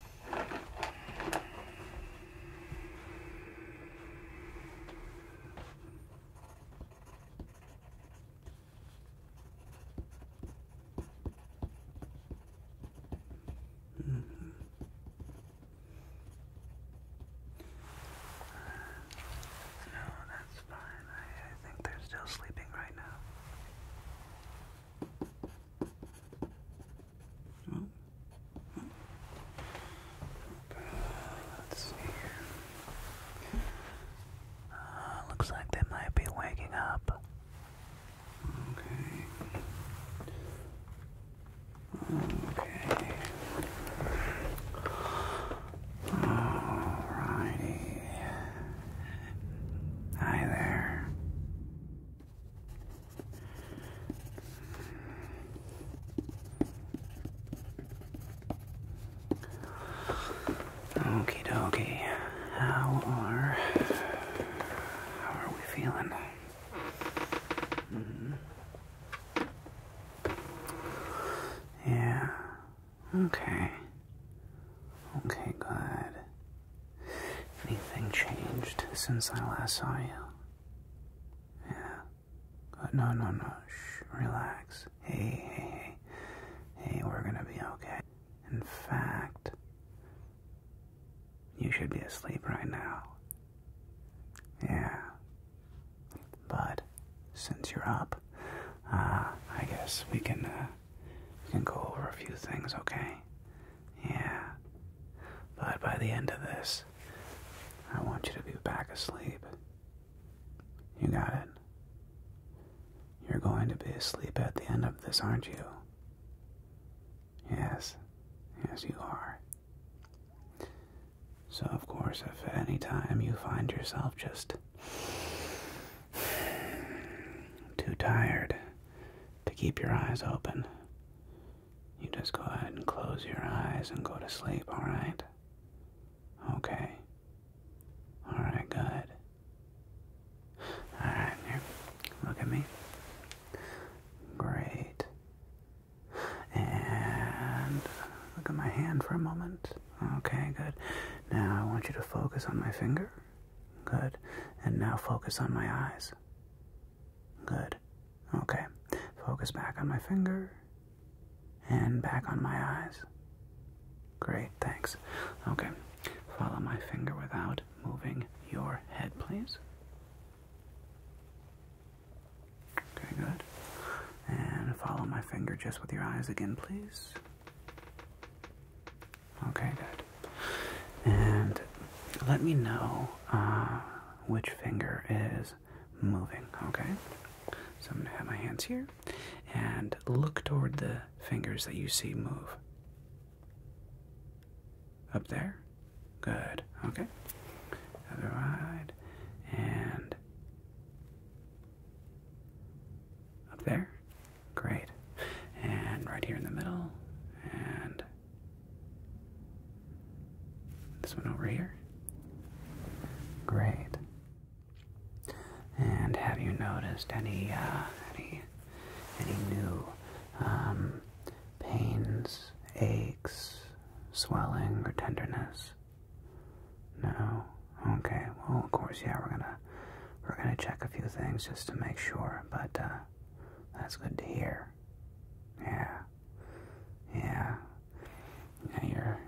Mm-hmm. No, that's fine. I, think they're still sleeping right now. Well, uh, looks like they might be waking up. Okay. Okay. Alrighty. Hi there. Okay, dokie. How are how are we feeling? Mm-hmm. Yeah. Okay. Okay, good. Anything changed since I last saw you? Yeah. But uh, no, no, no. Shh. Relax. Hey, hey, hey. Hey, we're gonna be okay. In fact, you should be asleep right now. Yeah. But since you're up, uh, I guess we can uh, we can go over a few things, okay? Yeah. But by the end of this, I want you to be back asleep. You got it. You're going to be asleep at the end of this, aren't you? Yes. Yes, you are. So, of course, if any time you find yourself just too tired to keep your eyes open, you just go ahead and close your eyes and go to sleep, alright? Okay. Alright, good. Alright, here. Look at me. Great. And look at my hand for a moment. Okay, good. Now I want you to focus on my finger. Good. And now focus on my eyes. Good. Okay. Focus back on my finger and back on my eyes. Great, thanks. Okay. Follow my finger without moving your head, please. Okay, good. And follow my finger just with your eyes again, please. Okay, good. And let me know uh, which finger is moving, okay? So I'm gonna have my hands here and look toward the fingers that you see move. Up there? Good, okay. Other side and up there? Great. And right here in the middle and this one over here. Great. And have you noticed any uh, any any new um, pains, aches, swelling, or tenderness? No. Okay. Well, of course, yeah. We're gonna we're gonna check a few things just to make sure, but uh, that's good to hear. Yeah. Yeah. Yeah, you're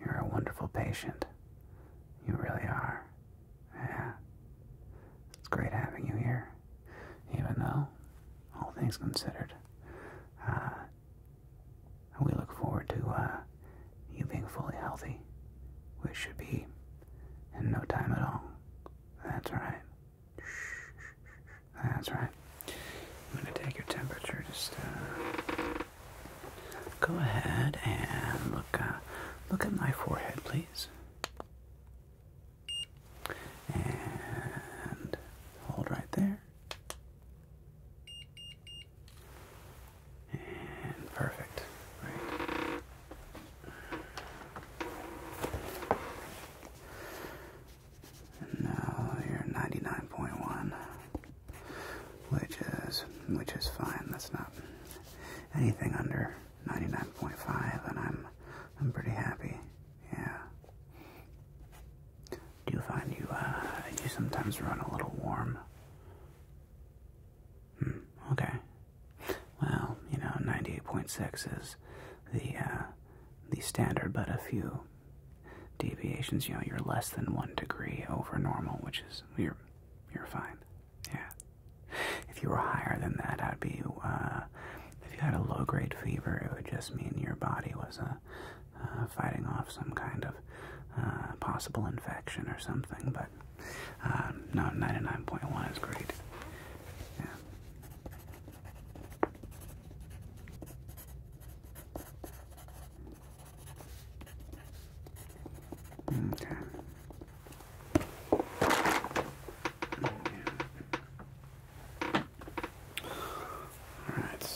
you're a wonderful patient. You really are. Yeah. It's great having you here. Even though, all things considered, uh, we look forward to uh, you being fully healthy, which should be in no time at all. That's right. That's right. I'm going to take your temperature. Just go ahead and look. Uh, look at my forehead, please. And hold right there. And perfect. Right. No, you're 99.1, which is which is fine. That's not anything under 99.5, and I'm I'm pretty happy. Yeah. Do you find you uh you sometimes run a little warm? Hmm. Okay well, you know, 98.6 is the uh, the standard, but a few deviations, you know, you're less than one degree over normal, which is you're you're fine. Yeah. If you were higher than that, I'd be. Uh, if you had a low-grade fever, it would just mean your body was uh, fighting off some kind of possible infection or something. But no, 99.1 is great. Yeah. Okay. Yeah. All right.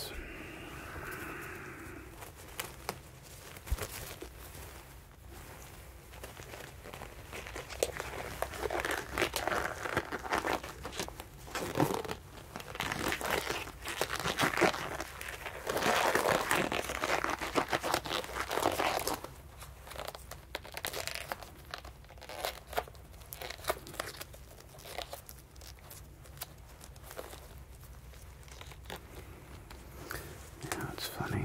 Now it's funny,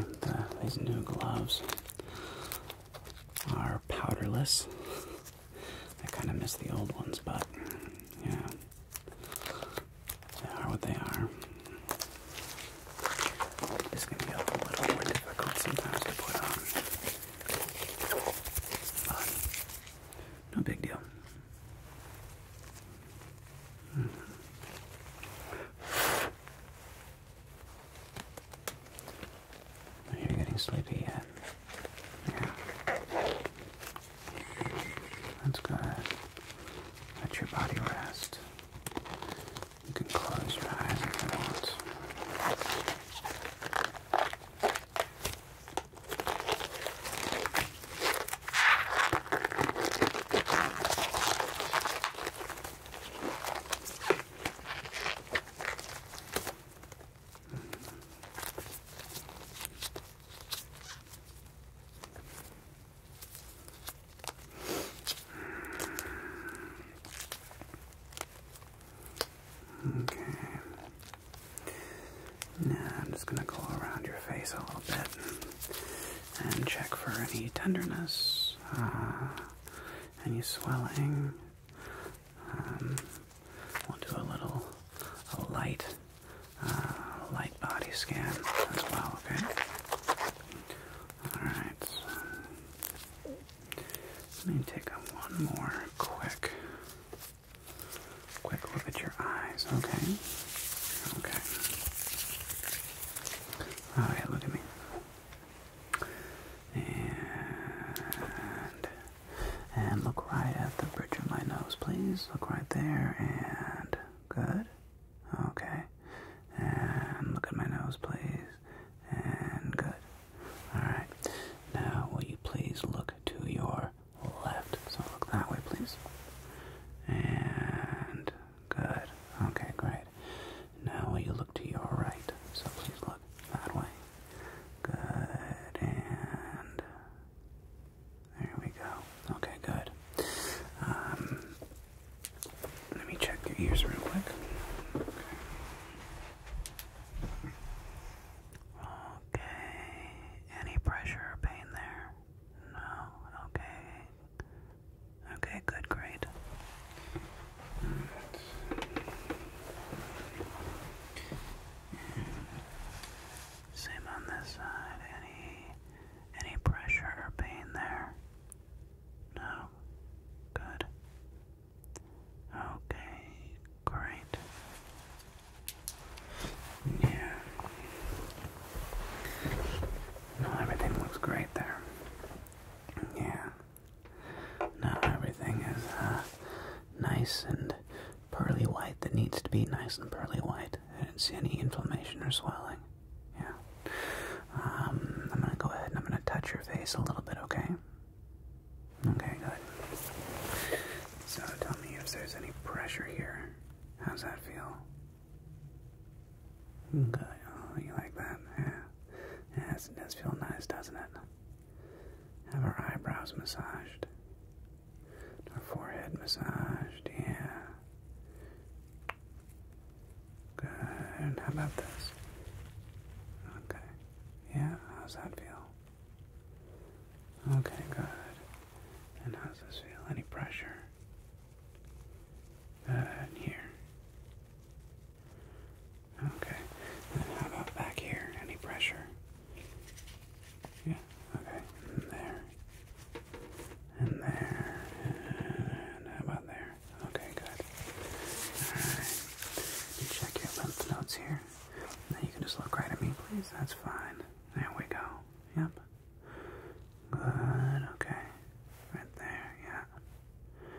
these new gloves are powderless. I kind of miss the old ones, but yeah, they are what they are. This can be a little more difficult sometimes to put on, but no big deal. Oh, you're getting sleepy yet? Yeah. That's good. Let your body rest. You can close your eyes if you want. Okay. Now I'm just going to go around your face a little bit and check for any tenderness, uh, any swelling, um, we'll do a little a light, uh, light body scan as well. Okay. All right. Let me take a one more quick, quick look at your eyes. Okay. Okay. Oh yeah, look at me. And, and look right at the bridge of my nose, please. Look right there, and good. Okay. And look at my nose, please. And good. Alright. Now, will you please look to your left? So look that way, please. And good. Okay, great. Now you look to your right, so please look that way. Good, and there we go. Okay, good. Um, let me check your ears real quick. Okay. Any pressure or pain there? No. Okay. Okay, good, great. Same on this side. Any any pressure or pain there? No. Good. Okay. Great. Yeah. No, everything looks great there. Yeah. Now everything is uh, nice and pearly white that needs to be nice and pearly white. I didn't see any inflammation or swelling. Yeah. Um, I'm gonna go ahead and I'm gonna touch your face a little bit, okay? Okay, good. So tell me if there's any pressure here. How's that feel? Okay. Oh, you like that? Yeah. Yes, it does feel nice, doesn't it? Have our eyebrows massaged. Our forehead massaged, yeah. Good. How about this? Okay. Yeah, how's that feel? Okay, good. And how's this feel? Any pressure? Good. Here. Okay. And how about back here? Any pressure? Yeah. Okay. there. And there. And about there? Okay, good. Alright. check your lymph nodes here. Now you can just look right at me, please. That's fine. There we go. Yep. Good. Okay. Right there. Yeah.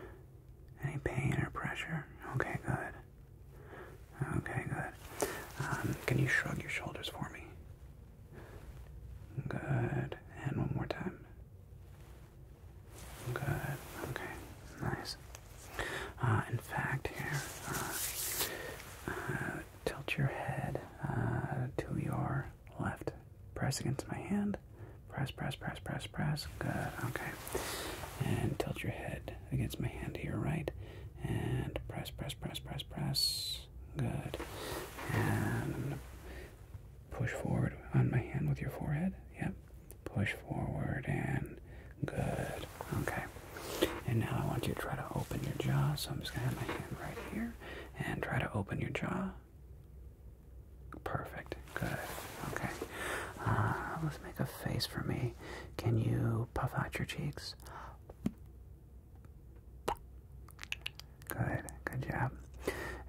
Any pain or pressure? Okay, good. Okay, good. Um, can you shrug your shoulders for me? Good. And one more time. Good. Okay. Nice. Uh, in fact, here, uh, uh, tilt your head to your left. Press against my hand Press, press, press, press, press. Good. Okay. And tilt your head against my hand here, right? And press, press, press, press, press. Good. And push forward on my hand with your forehead. Yep. Push forward and good. Okay. And now I want you to try to open your jaw. So I'm just gonna have my hand right here and try to open your jaw. Perfect. Good. Okay. Uh, let's make a face for me. Can you puff out your cheeks? Good. Good job.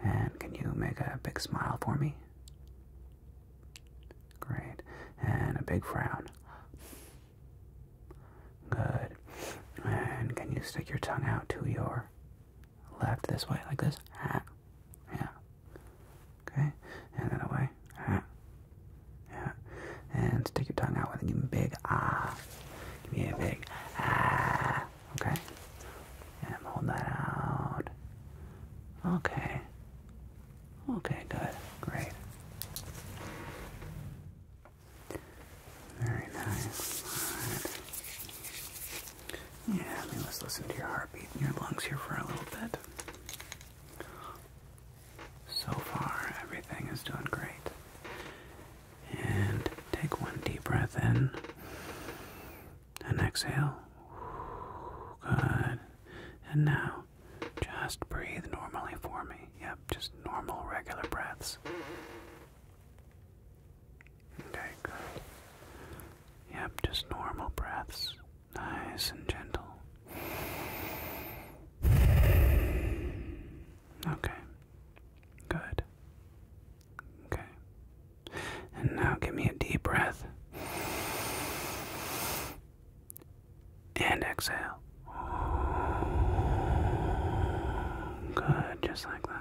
And can you make a big smile for me? Great. And a big frown. Good. And can you stick your tongue out to your left this way, like this? Yeah. Okay, and then away. Yeah. yeah. And stick your tongue out with it. Give me a big ah. Give me a big ah. Okay. And hold that out. Okay. Okay, good. Great. Very nice. Yeah, I mean, let's listen to your heartbeat and your lungs here for a little bit. So far, everything is doing great. And take one deep breath in and exhale. Good. And now, just breathe normally for me. Yep, just normal, regular breaths. Okay, good. Yep, just normal breaths nice and gentle. Okay. Good. Okay. And now give me a deep breath. And exhale. Good, just like that.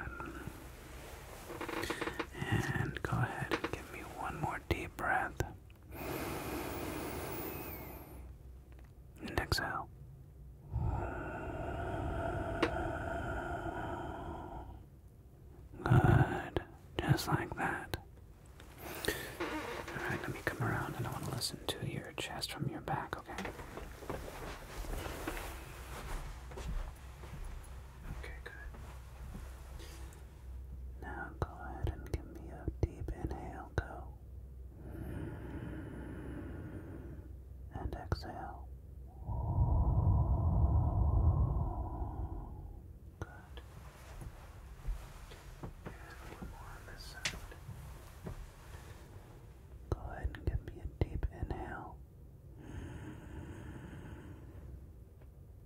And go ahead give me one more deep breath. And exhale. Good. Just like that. Alright, let me come around and I want to listen to your chest from your back, okay? Okay, good. Now go ahead and give me a deep inhale, go. And exhale. Good. Here's a more on this side. Go ahead and give me a deep inhale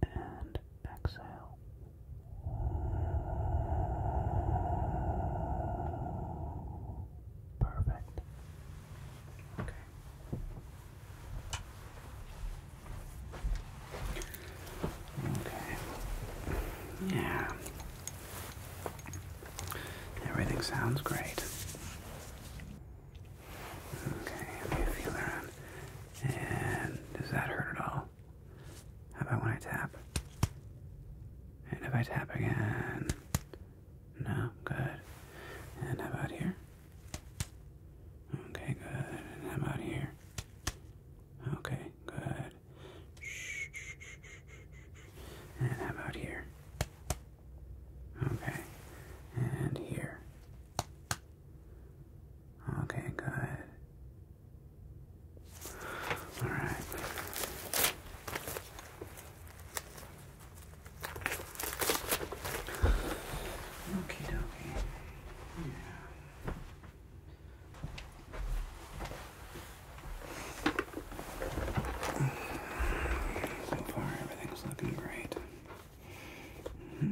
and exhale. Perfect. Okay. Okay. Yeah. Everything sounds great. Okay, let me feel around. And does that hurt at all? How about when I tap? And if I tap again? No, good. And about here? Okay, good. And about here? Okay, good. And about here? Okay. And here. Okay, good. All right. Okie dokie. Yeah. So far, everything's looking great. Mm-hmm.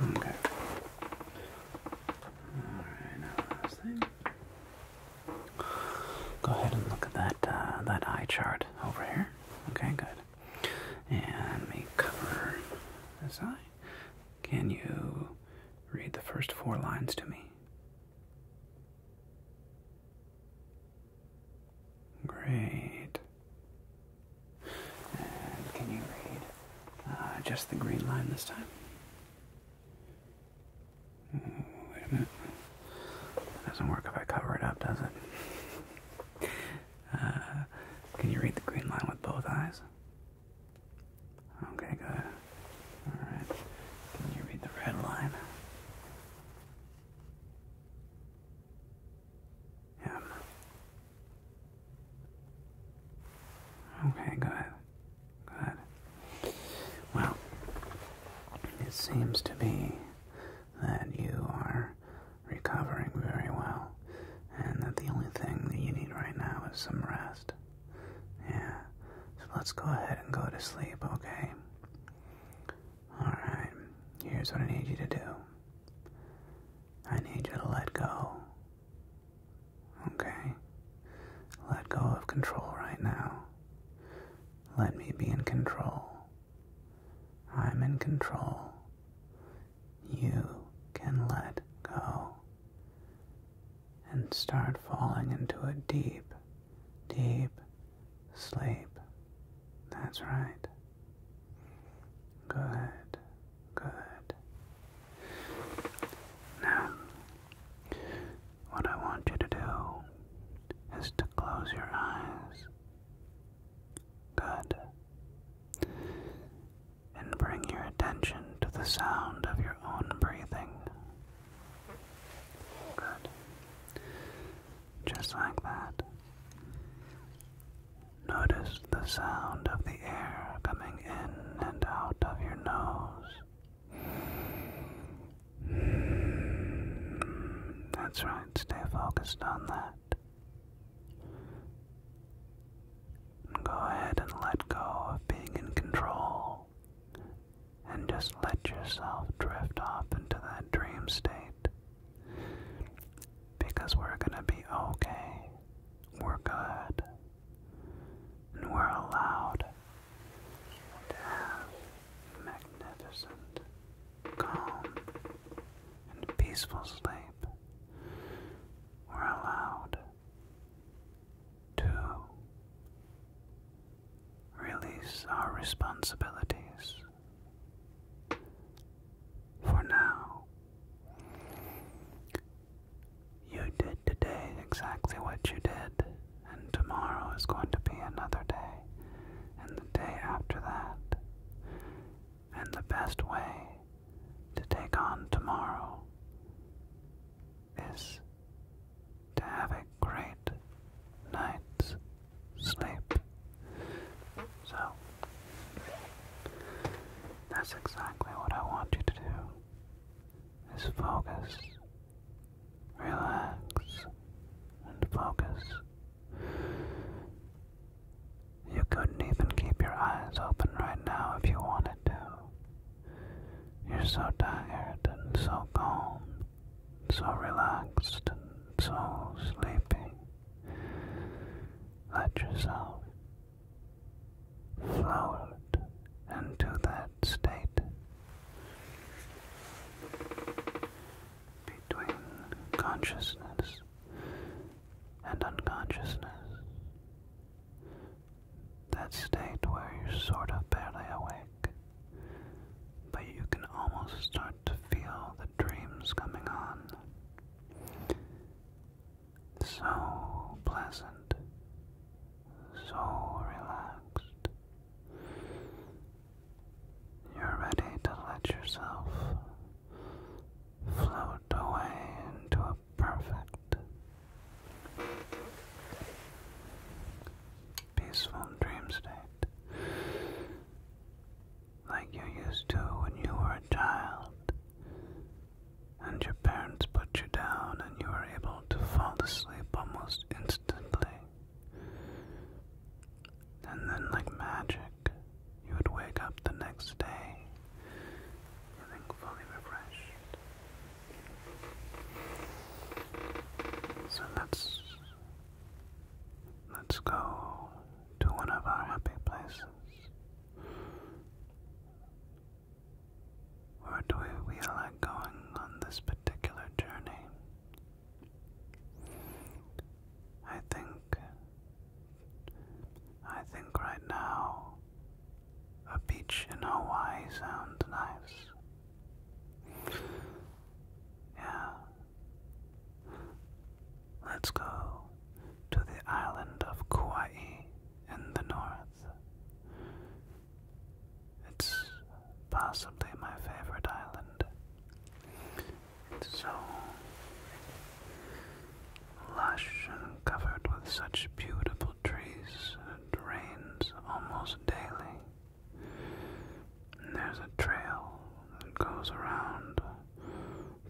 Okay. Alright, now last thing. Go ahead and look at that uh, that eye chart over here. Okay, good. And let cover this eye. Can you read the first four lines to me? Great. And can you read uh, just the green line this time? wait a minute. doesn't work if I cover it up, does it? Uh, can you read the green line with both eyes? Okay, good. Alright. Can you read the red line? M. Okay, good. Good. Well, it seems to be that you are recovering very well, and that the only thing that you need right now is some rest. Yeah. So let's go ahead and go to sleep, okay? Alright. Here's what I need you to do I need you to let go. Okay? Let go of control right now. Let me be in control. I'm in control. You can let go and start falling into a deep, deep sleep. That's right. Good, good. Now, what I want you to do is to close your eyes. Good. And bring your attention to the sound of your own breathing. Just like that. Notice the sound of the air coming in and out of your nose. That's right, stay focused on that. Go ahead and let go of being in control and just let yourself drift off into that dream state. Because we're going to be okay, we're good, and we're allowed to have magnificent, calm, and peaceful sleep. We're allowed to release our responsibilities. For now, you did today exactly what you did, and tomorrow is going to be another day, and the day after that. And the best way to take on tomorrow is to have a great night's sleep. So, that's exactly what I want you to do, is focus, relax, and focus. You couldn't even keep your eyes open right now if you wanted to. You're so tired and so calm, so relaxed and so sleepy. Let yourself float into that state between consciousness and unconsciousness. That state where you're sort of barely awake, but you can almost start to feel the dreams coming on. So pleasant, so relaxed. You're ready to let yourself float away into a perfect, peaceful dream state, like you used to when you were a child, and your parents put you down and you were able to fall asleep almost instantly. And then, like magic, you would wake up the next day feeling fully refreshed. So let's let's go to one of our happy places. Where do we, like going on this particular journey? I think I think right now a beach in Hawaii sounds nice. Yeah. Let's go to the island of Kauai in the north. It's possibly my favorite island. It's so lush and covered with such beautiful trees, and it rains almost daily. There's a trail that goes around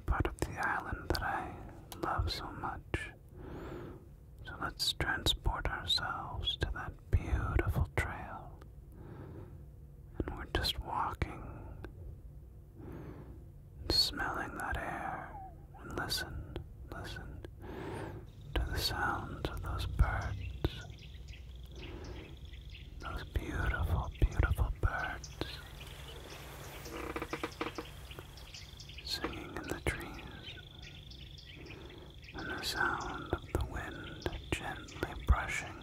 part of the island that I love so much. So let's transport ourselves to that beautiful trail. And we're just walking, smelling that air, and listen, listen to the sounds of those birds. Those beautiful, beautiful birds singing in the trees, and the sound of the wind gently brushing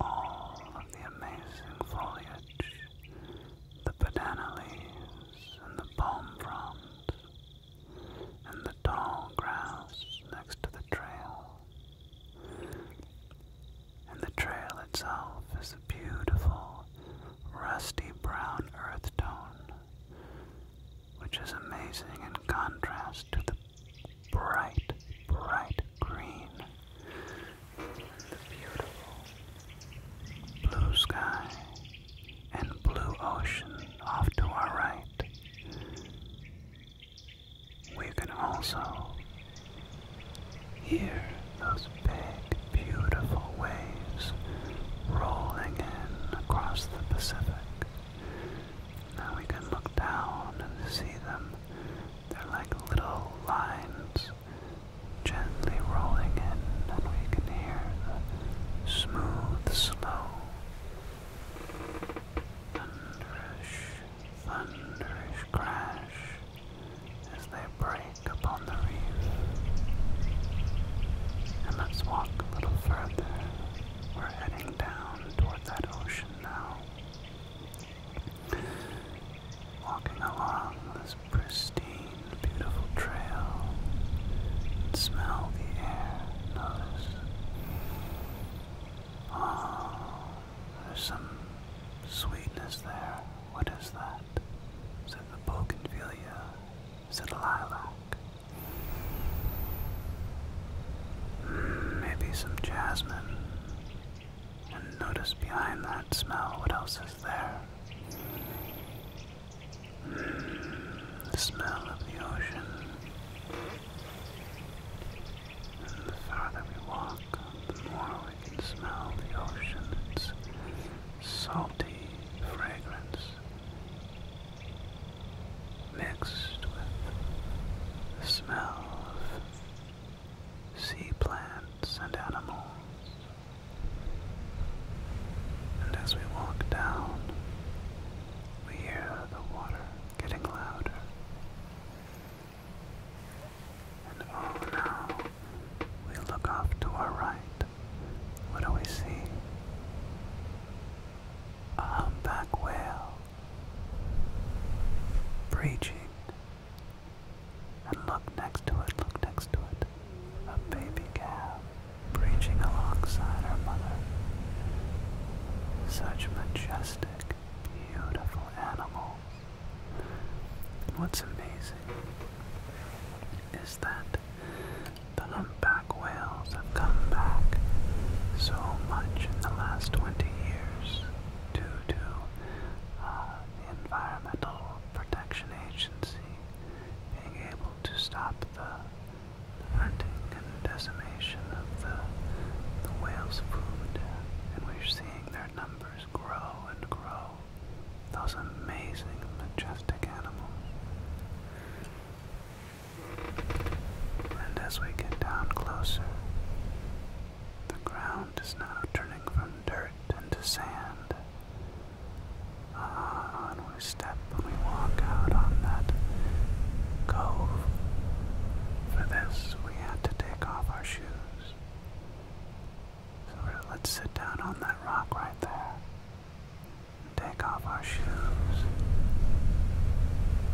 all of the amazing foliage, the banana leaves, and the palm fronds and the tall grass next to the trail. And the trail itself is a beautiful, rusty brown earth tone, which is amazing in contrast to the bright, bright green, the beautiful blue sky and blue ocean off to our right. We can also hear those big, beautiful waves rolling in across the Pacific. Now we can look down and see them. They're like little lines gently rolling in, and we can hear the smooth, slow Thunderous, thunderous crash as they break upon the reef. And let's walk a little further. We're heading down toward that ocean now. Walking along this pristine, beautiful trail. Smell the air. Notice Oh, there's some sweetness there. What is that? Is it the bougainvillea? Is it lilac? Hmm, maybe some jasmine. And notice behind that smell what else is there the smell of the ocean. the farther we walk, the more we can smell the ocean. salty fragrance mixed with the smell of sea plants and animals. And as we walk down, we hear the water getting louder. And oh now, we look off to our right. What do we see? A humpback whale breaching. And look next to it, look next to it. A baby calf preaching alongside her mother. Such majestic, beautiful animals. What's amazing is that the humpback whales have come back so much in the last 20 years due to uh, the Environmental Protection Agency being able to stop the hunting and decimation of the, the whales' food, and we're seeing their numbers grow and grow. Those amazing, majestic animals. And as we get down closer, the ground is now turning from dirt into sand. Ah, we step and we walk out on that cove. For this, we had to take off our shoes. So let's sit down on that rock right there and take off our shoes.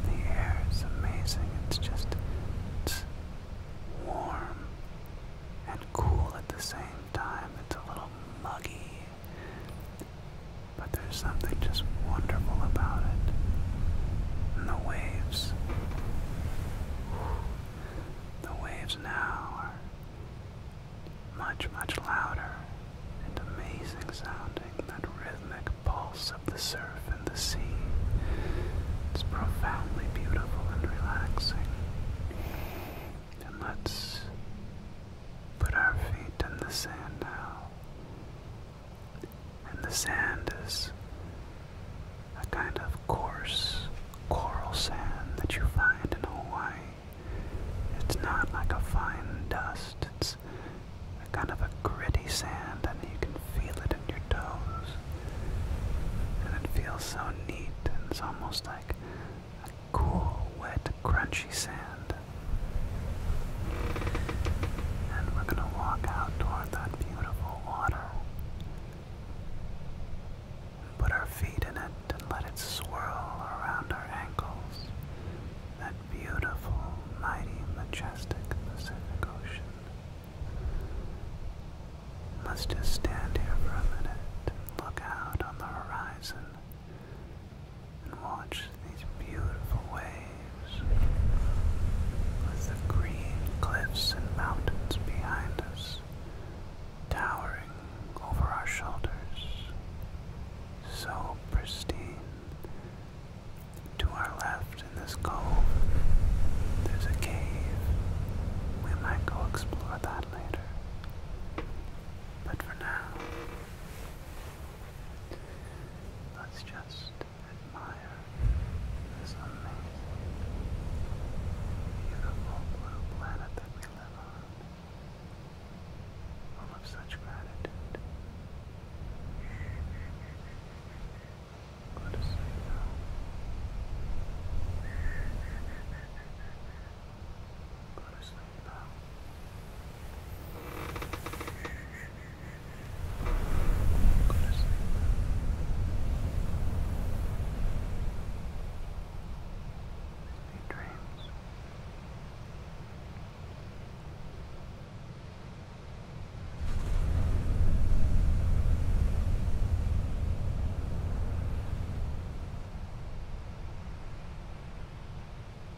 The air is amazing. It's just warm and cool at the same time. It's a little muggy but there's something just wonderful about it. And the waves. The waves now are much, much louder and amazing sounding. That rhythmic pulse of the surf and the sea. It's profoundly beautiful and relaxing. And let's Put our feet in the sand now. And the sand is a kind of coarse coral sand that you find in Hawaii. It's not like a fine dust, it's a kind of a gritty sand, and you can feel it in your toes. And it feels so neat, and it's almost like a cool, wet crunchy sand. And we're going to walk out toward that beautiful water. Put our feet in it and let it swirl around our ankles. That beautiful, mighty, majestic Pacific Ocean. Let's just stand here for a minute and look out on the horizon and watch these beautiful waves with the green cliffs and mountains behind us towering over our shoulders. So pristine. To our left in this cove, there's a cave. We might go explore that later. But for now, Let's just admire this amazing, beautiful blue planet that we live on, full of such gratitude. Go to sleep now go to sleep, pal. Go to sleep. Sweet dreams.